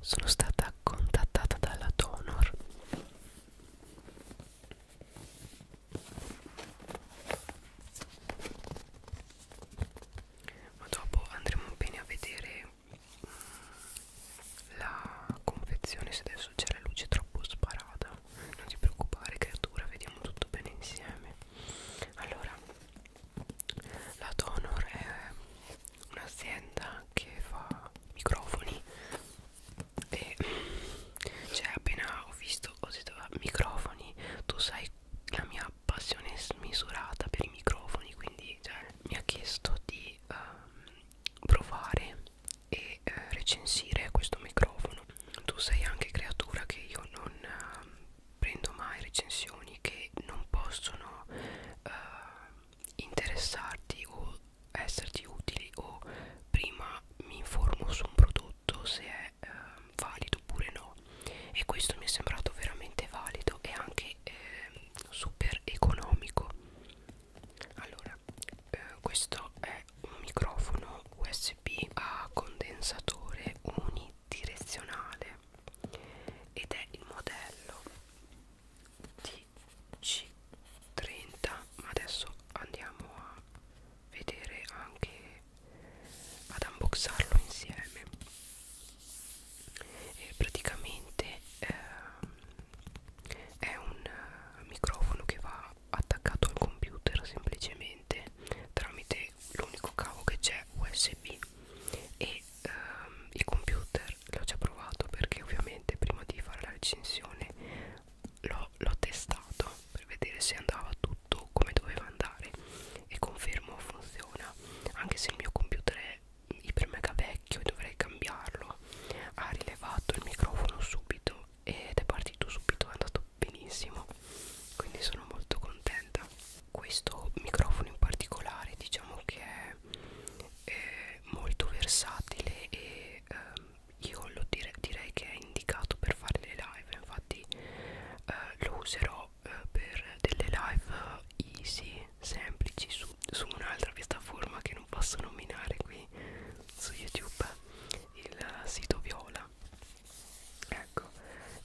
sono stata contattata dalla Donor ma dopo andremo bene a vedere mm, la confezione se adesso c'è la luce troppo sparata non ti preoccupare creatura vediamo tutto bene insieme allora la Donor è un'azienda che fa microfoni e cioè appena ho visto ho detto ah, microfoni tu sai la mia passione smisurata per i microfoni quindi cioè, mi ha chiesto di um, provare e uh, recensire questo microfono tu sei anche creatura che io non uh, prendo mai recensioni che non possono uh, interessarti o esserti utili o prima mi informo su un prodotto se è eh, valido oppure no e questo mi è sembrato veramente valido e anche eh, super economico allora eh, questo è un microfono usb a condensatore unidirezionale ed è il modello TC30 ma adesso andiamo a vedere anche ad unboxarlo insieme e praticamente ehm, è un eh, microfono che va attaccato al computer semplicemente tramite l'unico cavo che c'è usb e ehm, i computer l'ho già provato perché ovviamente prima di fare la recensione l'ho testato per vedere se andava tutto come doveva andare e confermo funziona anche se il mio computer è iper mega vecchio e dovrei cambiarlo ha rilevato il microfono subito ed è partito subito è andato benissimo quindi sono molto contenta questo microfono in particolare diciamo che è è eh, molto versatile e ehm, io lo dire, direi che è indicato per fare le live infatti eh, lo userò eh, per delle live easy semplici su, su un'altra piattaforma che non posso nominare qui su youtube il sito viola ecco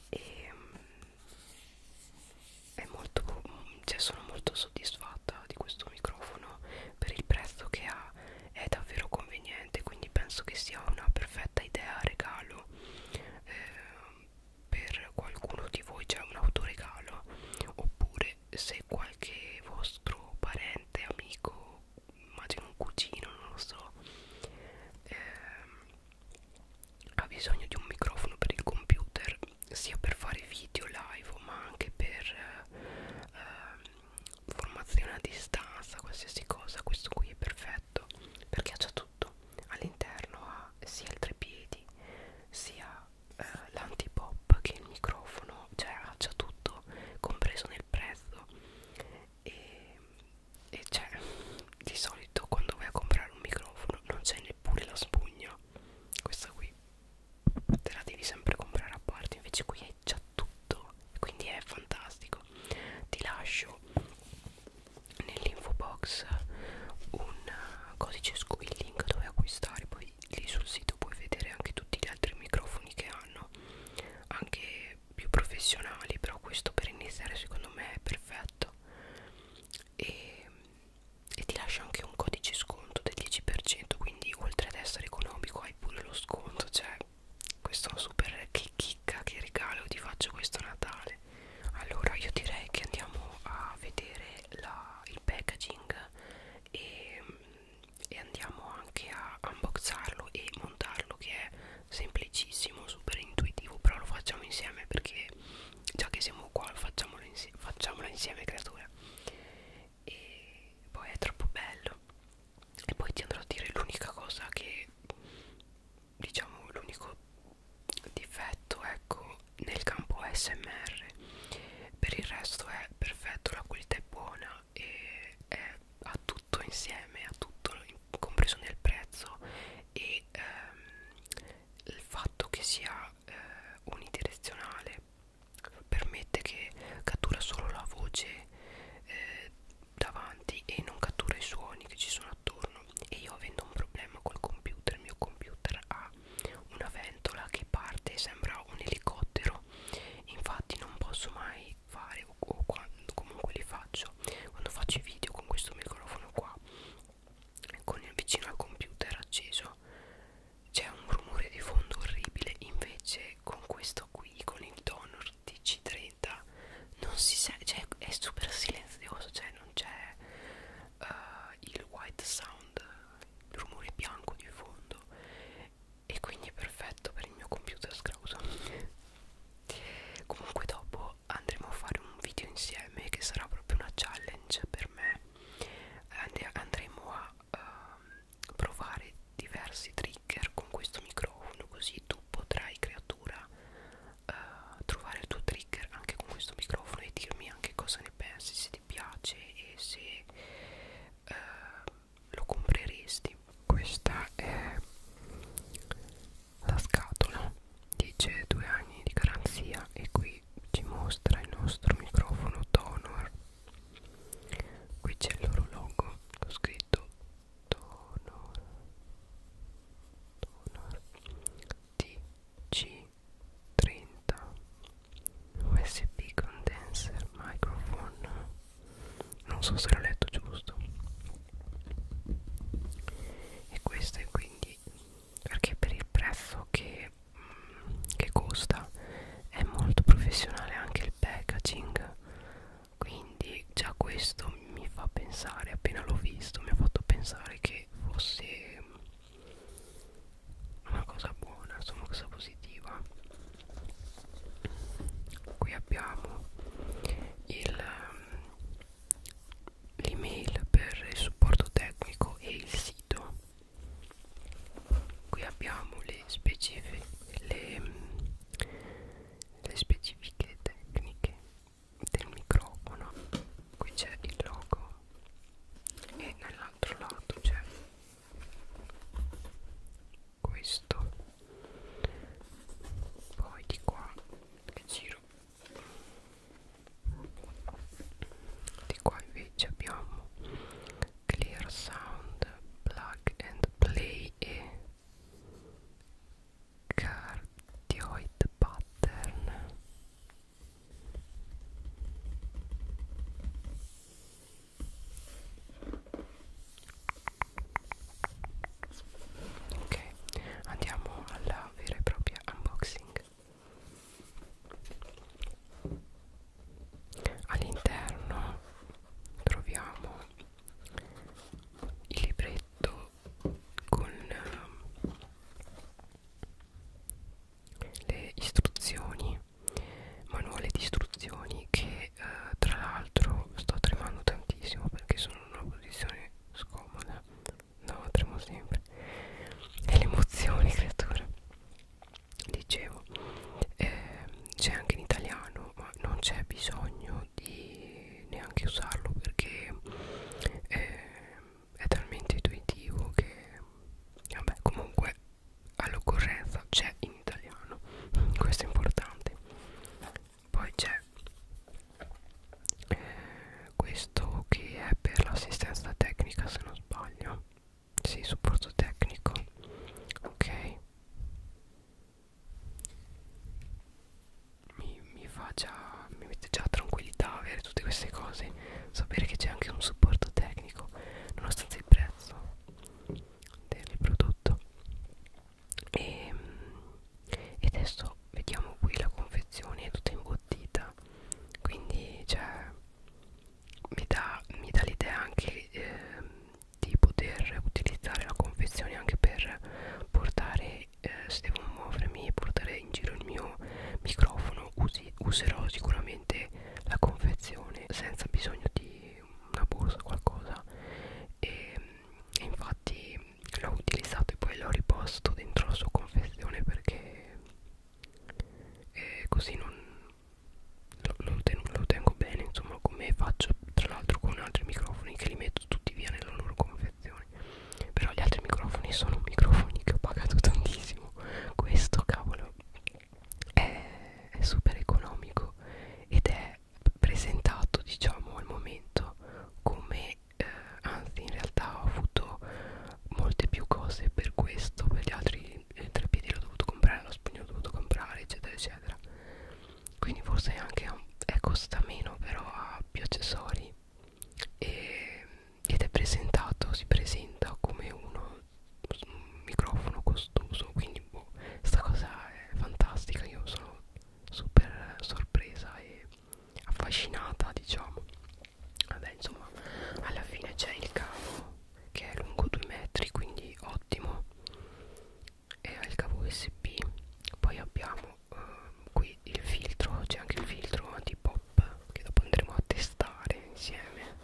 e ehm, è molto cioè sono molto soddisfatta di questo microfono per il prezzo che ha è davvero conveniente quindi penso che sia una perfetta idea regalo eh, per qualcuno di voi c'è cioè un autoregalo oppure se qualche vostro parente amico immagino un cugino non lo so eh, ha bisogno di un microfono per il computer sia per fare video live ma anche per eh, formazione a distanza qualsiasi cosa questo qui è perfetto perché ha già tutto all'interno ha sia il trepiedi sia eh, l'antipop che il microfono cioè ha già tutto compreso nel prezzo e, e cioè di solito quando vai a comprare un microfono non c'è neppure la spugna questa qui te la devi sempre comprare a parte invece qui hai già tutto quindi è fantastico ti lascio nell'info box un codice il link dove acquistare poi lì sul sito puoi vedere anche tutti gli altri microfoni che hanno anche più professionali però questo per iniziare secondo me è perfetto e, e ti lascia anche un codice sconto del 10% quindi oltre ad essere economico hai pure lo sconto cioè questo è un super che chicca che regalo ti faccio questo Natale allora io direi che andiamo a vedere la, il packaging e, e andiamo anche a unboxarlo e montarlo che è semplicissimo super intuitivo però lo facciamo insieme perché già che siamo qua facciamola insieme, facciamola insieme creatura e poi è troppo bello e poi ti andrò a dire l'unica cosa che diciamo l'unico difetto ecco nel campo smr per il resto è perfetto la qualità è buona e è a tutto insieme a tutto compreso nel prezzo e ehm, il fatto che sia eh, unidirezionale permette che cattura solo la voce eh, davanti e non cattura i suoni che ci sono attorno e io avendo un problema col computer il mio computer ha una ventola che parte e sembra un elicottero infatti non posso mai fare o, o quando comunque li faccio quando faccio i video con questo microfono qua con il vicino al computer acceso c'è un rumore di fondo orribile invece con questo qui con il tono TC30 non si sa cioè è super silenzioso cioè non c'è uh, il white sound il rumore bianco di fondo e quindi è perfetto per il mio computer scrauso comunque dopo andremo a fare un video insieme che sarà proprio una challenge per me And andremo a uh, provare diversi trigger con questo microfono così tu potrai creatura uh, trovare il tuo trigger anche con questo microfono e dirmi anche cosa ne pensi se ti piace e se uh, lo compreresti questa è la scatola dice due anni di garanzia e qui ci, ci mostra il nostro microfono Tonor qui c'è il loro logo ho scritto Tonor Tonor TC30 USB Condenser Microphone non so se l'ho letto giusto e questo è quindi perché per il prezzo che che costa è molto professionale anche il packaging quindi già questo mi fa pensare appena l'ho visto mi ha fatto pensare che fosse una cosa buona insomma una cosa positiva qui abbiamo l'email per il supporto tecnico e il sito qui abbiamo le specifiche le, le specifiche tecniche del microfono qui c'è il logo e nell'altro lato c'è questo poi di qua che giro di qua invece abbiamo clear sound plug and play e cardioid pattern ok andiamo alla vera e propria unboxing all'interno troviamo il libretto con ehm, le istruzioni manuale di istruzioni che eh, tra l'altro sto tremando tantissimo perché sono in una posizione scomoda no tremo sempre è l'emozione creatura dicevo eh, c'è anche in italiano ma non c'è bisogno di neanche usarlo perché eh, è talmente intuitivo che vabbè comunque all'occorrenza c'è in italiano questo è importante poi c'è eh, questo che è per l'assistenza tecnica se non sbaglio sì supporto tecnico ok mi, mi fa già mi mette già tranquillità avere tutte queste cose sapere che c'è anche un supporto tecnico nonostante il prezzo del prodotto e, ehm, e adesso vediamo qui la confezione è tutta imbottita quindi c'è cioè, mi dà, mi dà l'idea anche eh, di poter utilizzare la confezione anche per portare eh, se devo muovermi e portare in giro il mio microfono usi, userò sicuramente la confezione senza bisogno di una borsa o qualcosa e, e infatti l'ho utilizzato e poi l'ho riposto dentro la sua confezione perché e così non lo, lo, ten, lo tengo bene insomma come faccio tra l'altro con altri microfoni che li metto tutti via nella loro confezione però gli altri microfoni sono microfoni che ho pagato tantissimo questo cavolo è, è super economico ed è presentato diciamo al momento come eh, anzi in realtà ho avuto molte più cose per questo per gli altri il eh, treppiedi l'ho dovuto comprare, lo spugno l'ho dovuto comprare, eccetera, eccetera. Quindi forse anche a, è eh, costa meno, però ha più accessori e, ed è presentato, si presenta come uno un microfono costoso. Quindi boh, sta cosa è fantastica, io sono super sorpresa e affascinata, diciamo vabbè insomma alla fine c'è il cavo che è lungo 2 metri quindi ottimo e ha il cavo usb poi abbiamo uh, qui il filtro c'è anche il filtro antipop che dopo andremo a testare insieme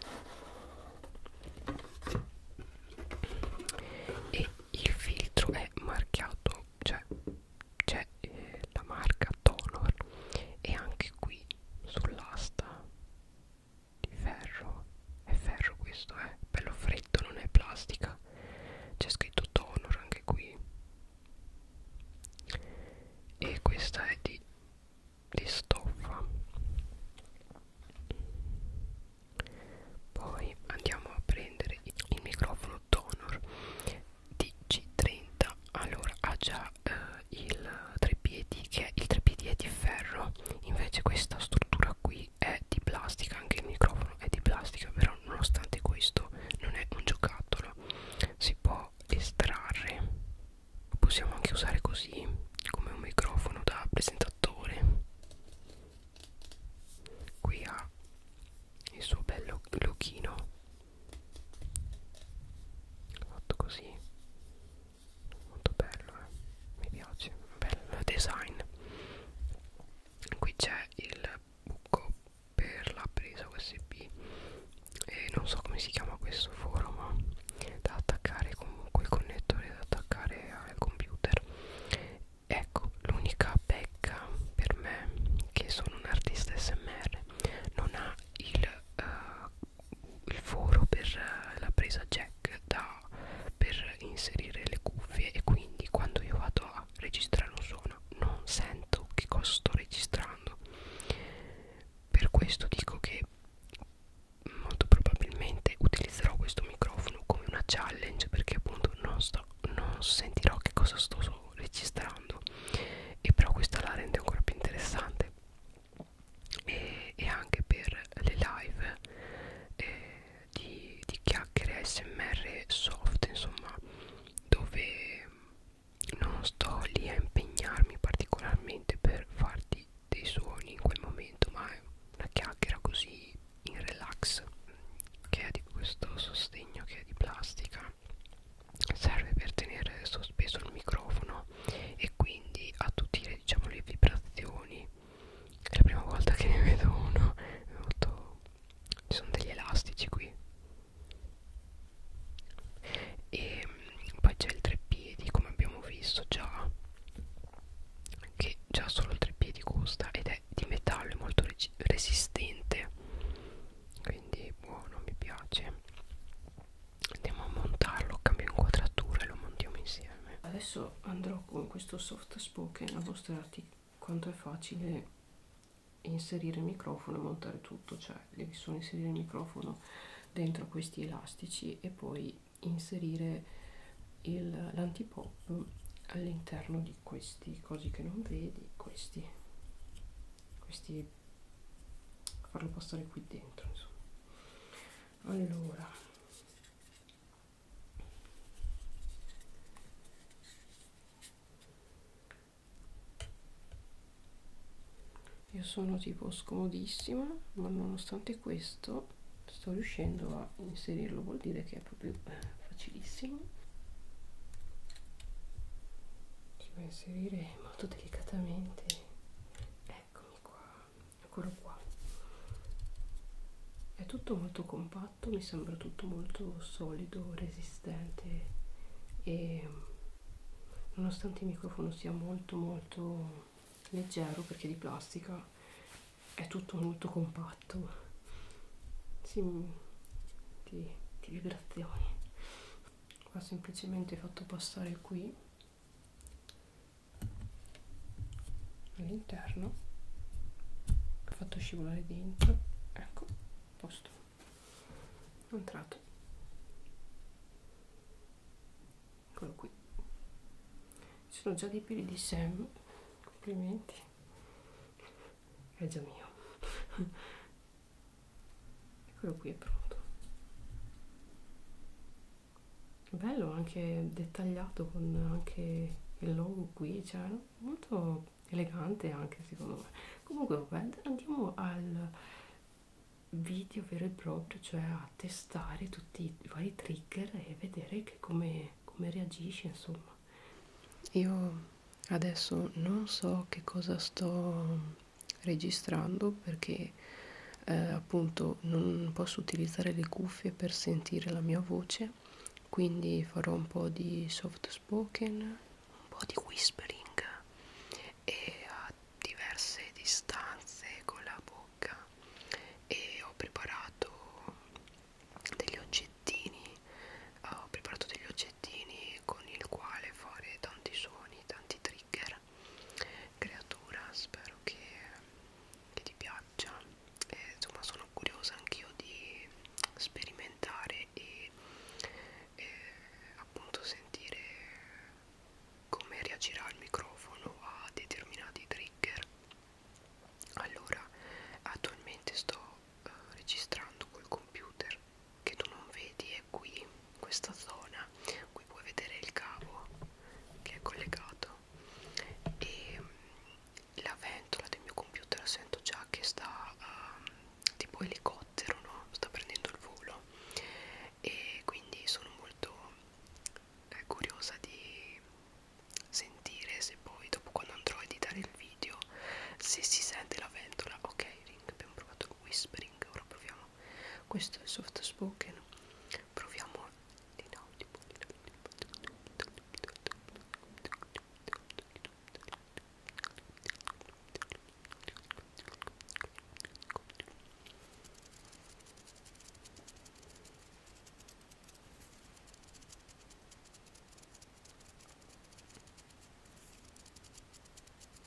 e il filtro è marchiato cioè c'è eh, la marca Tonor e anche qui sull'asta di ferro è ferro questo è eh? bello freddo non è plastica c'è scritto Tonor anche qui e questa è di, di stoffa poi andiamo a prendere il microfono Tonor DC30 allora ha ah già usa eh, il treppiedi che il treppiedi è di ferro invece questa struttura qui è di plastica anche il microfono è di plastica però nonostante questo non è un giocattolo si può estrarre possiamo anche usare così come un microfono da presentatore qui ha il suo bello lochino fatto così molto bello eh? mi piace bello design qui c'è il buco per la presa usb e non so come si chiama questo foro ma da attaccare comunque il connettore da attaccare al computer ecco l'unica pecca per me che sono un artista smr non ha il uh, il foro per la presa jack da, per inserire le cuffie e quindi quando io vado a registrare un suono non sento che cosa sto registrando per questo dico che molto probabilmente utilizzerò questo microfono come una challenge perché appunto non, sto, non sentirò che cosa sto registrando e però questa la rende ancora più interessante e, e anche per le live eh, di, di chiacchiere smr soft insomma dove non sto lì a impegnarmi particolarmente per farti dei suoni in quel momento ma è una chiacchiera così in relax che è di questo sostegno che è di plastica serve per tenere sospeso il microfono e quindi attutire diciamo le vibrazioni è la prima volta che ne vedo uno molto... ci sono degli elastici qui e mm, poi c'è il treppiedi come abbiamo visto già che già solo il treppiedi costa ed è di metallo è molto resistente quindi buono mi piace andiamo a montarlo cambio inquadratura e lo montiamo insieme adesso andrò con questo soft spoken a mostrarti quanto è facile inserire il microfono e montare tutto cioè devi solo inserire il microfono dentro questi elastici e poi inserire l'antipop all'interno di questi cosi che non vedi questi questi poi farlo passare qui dentro insomma allora io sono tipo scomodissima ma nonostante questo sto riuscendo a inserirlo vuol dire che è proprio eh, facilissimo si va a inserire molto delicatamente è eccomi qua eccolo qua è tutto molto compatto mi sembra tutto molto solido resistente e nonostante il microfono sia molto molto leggero perché di plastica è tutto molto compatto sì, di, di vibrazioni qua semplicemente fatto passare qui all'interno ho fatto scivolare dentro ecco posto entrato eccolo qui ci sono già dei peli di Sam complimenti è già mio eccolo qui è pronto bello anche dettagliato con anche il logo qui cioè molto elegante anche secondo me comunque vabbè, andiamo al video vero e proprio cioè a testare tutti i vari trigger e vedere che come, come reagisce insomma io adesso non so che cosa sto registrando perché eh, appunto non posso utilizzare le cuffie per sentire la mia voce quindi farò un po' di soft spoken un po' di whispering e a diverse distanze con la bocca e ho preparato degli oggettini ho preparato degli oggettini con il quale fare tanti suoni tanti trigger creatura spero che, che ti piaccia e, insomma sono curiosa anch'io di sperimentare e, e appunto sentire come reagirà il microfono a determinati trigger allora attualmente sto eh, registrando col computer che tu non vedi è qui questa zona qui puoi vedere il cavo che è collegato e mm, la ventola del mio computer la sento già che sta um, tipo elicottero no? sta prendendo il volo e quindi sono molto eh, curiosa di sentire se poi dopo quando andrò a editare il video se si sente la ventola ok Ring abbiamo provato il whispering ora proviamo no questo è soft spoken proviamo l'inaudible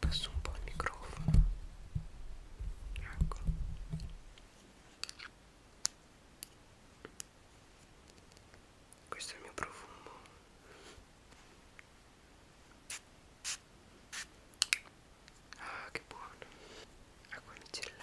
passo un po' il microfono ecco questo è il mio profumo ah che buono acqua micellare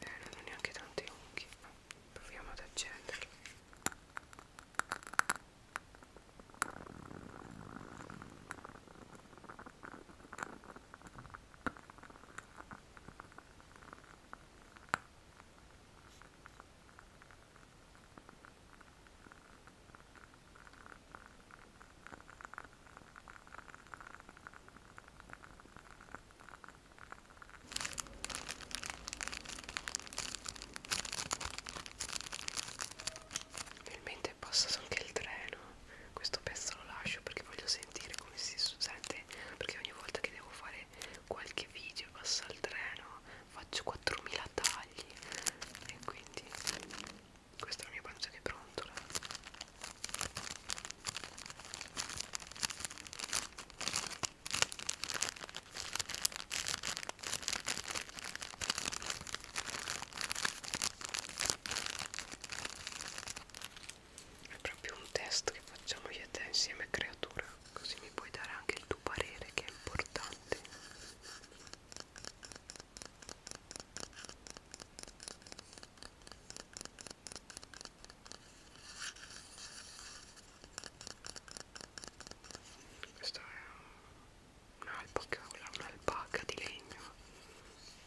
Eh, non ho neanche tanti unghie. Proviamo ad accenderlo. Finalmente è passato anche il treno. Questo pezzo lo lascio perché voglio sentire come si sente. Perché ogni volta che devo fare qualche video passa il treno, faccio 4000 tagli e quindi questa è la mia pancia che brontola. È proprio un test che facciamo io e te insieme creatura, così mi puoi dare anche il tuo parere che è importante. Questa è un'alpaca, un'alpaca di legno,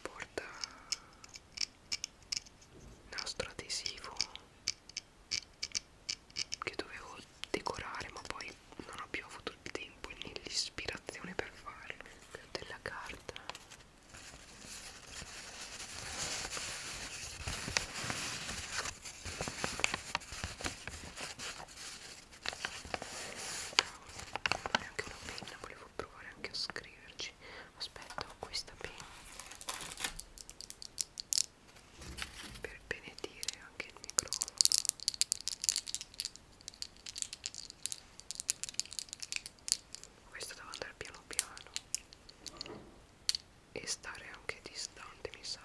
porta nastro adesivo che dovevo decorare ma poi non ho più avuto il tempo né l'ispirazione per farlo. Della carta provare anche una penna volevo provare anche a scriverci aspetta ho questa penna per benedire anche il microfono questo devo andare piano piano e stare anche distante mi sa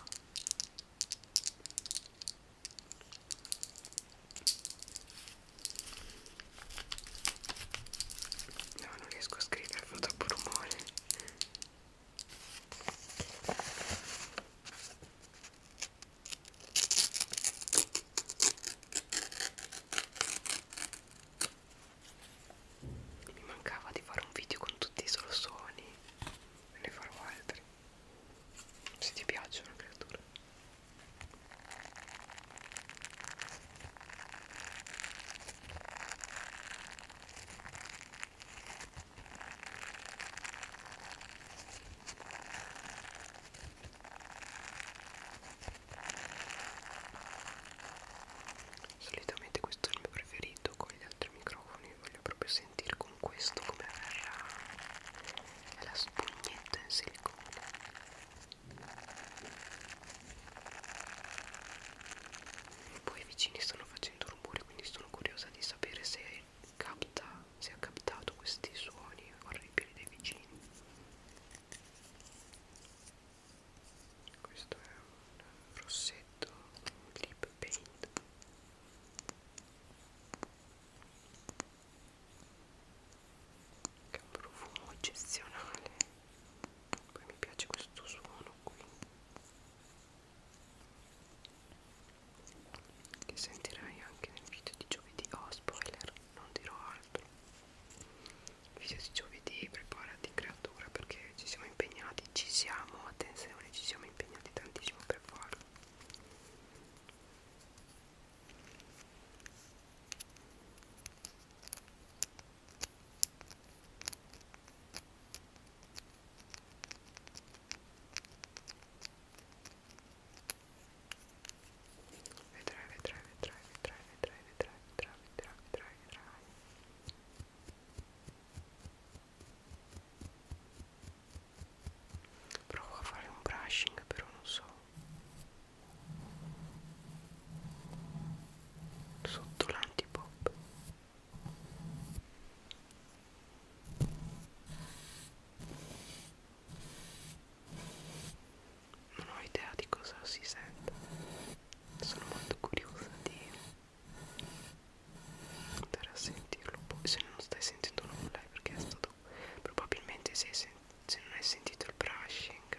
no non riesco a scrivere fa troppo rumore mi mancava di fare un video con tutti i solo suoni, me ne farò altri. Se ti piacciono, creatura. Solitamente questo è il mio preferito, con gli altri microfoni voglio proprio sentire con questo come verrà la spugnetta in silicone. Poi i vicini stanno facendo rumore, quindi sono curiosa di sapere se capta, se ha captato questi suoni orribili dei vicini questo è un rossetto lip paint che è un profumo eccezionale poi mi piace questo suono qui che sentirai anche nel video di giovedì oh spoiler non dirò altro video di giovedì preparati creatura perché ci siamo impegnati ci siamo attenzione ci siamo impegnati tantissimo per farlo Vedrai, vedrai, vedrai, vedrai, vedrai, vedrai, vedrai, vedrai, vedrai, vedrai. Provo a fare un brushing, però non so. Sotto l'antipop non ho idea di cosa si sente sono molto curiosa di andare a sentirlo poi boh, se non stai sentendo nulla è perché è stato probabilmente se, se, se non hai sentito il brushing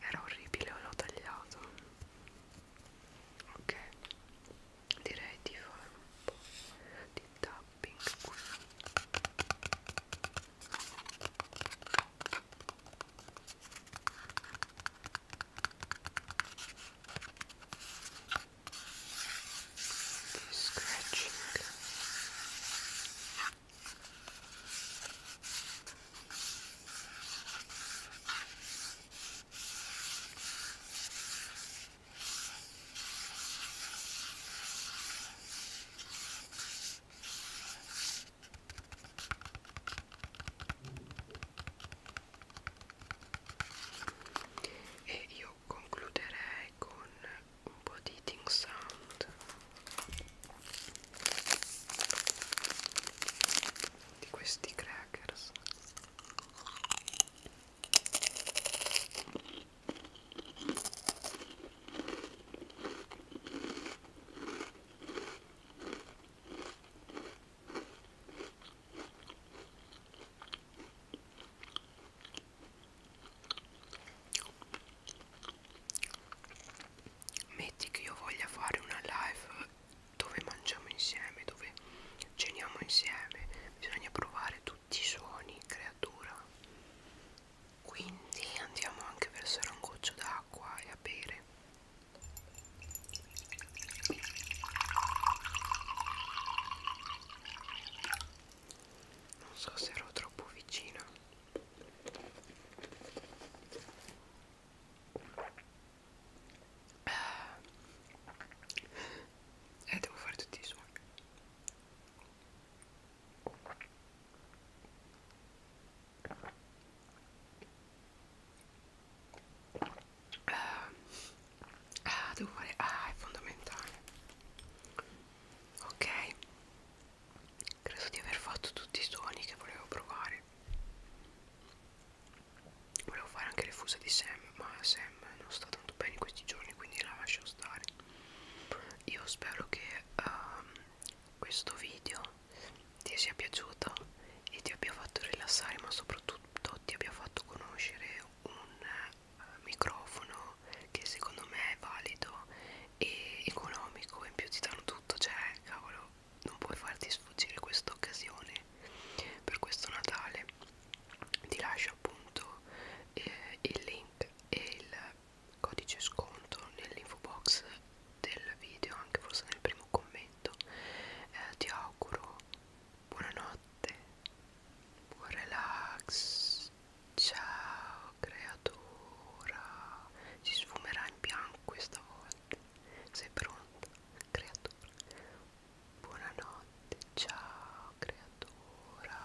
era orribile l'ho tagliato ok direi di fare un po' di tap pink one. Okay, scratching. Okay, e io concluderei con un po' di ting sound di questi crackers Metti che io voglia fare una live dove mangiamo insieme, dove ceniamo insieme, bisogna provare tutti i suoni, creatura quindi andiamo anche a versare un goccio d'acqua e a bere non so se ero troppo vicina eh, devo fare tutti i suoni eh, ah, devo fare... Ah, è fondamentale. Ok. Credo di aver fatto tutti i suoni che volevo provare. Volevo fare anche le fuse di Sam, ma Sam non sta tanto bene in questi giorni, quindi la lascio stare. Io spero che um, questo video ti sia piaciuto e ti abbia fatto rilassare ma soprattutto ti abbia fatto conoscere un uh, microfono che secondo me è valido e economico in più ti danno tutto cioè cavolo non puoi farti sfuggire questa occasione per questo Natale ti lascio appunto eh, il link e il codice sconto nell'info box del video, anche forse nel primo commento. Eh, ti auguro buonanotte, buon relax. Ciao creatura, si sfumerà in bianco questa volta. Sei pronta, creatura? Buonanotte, ciao creatura.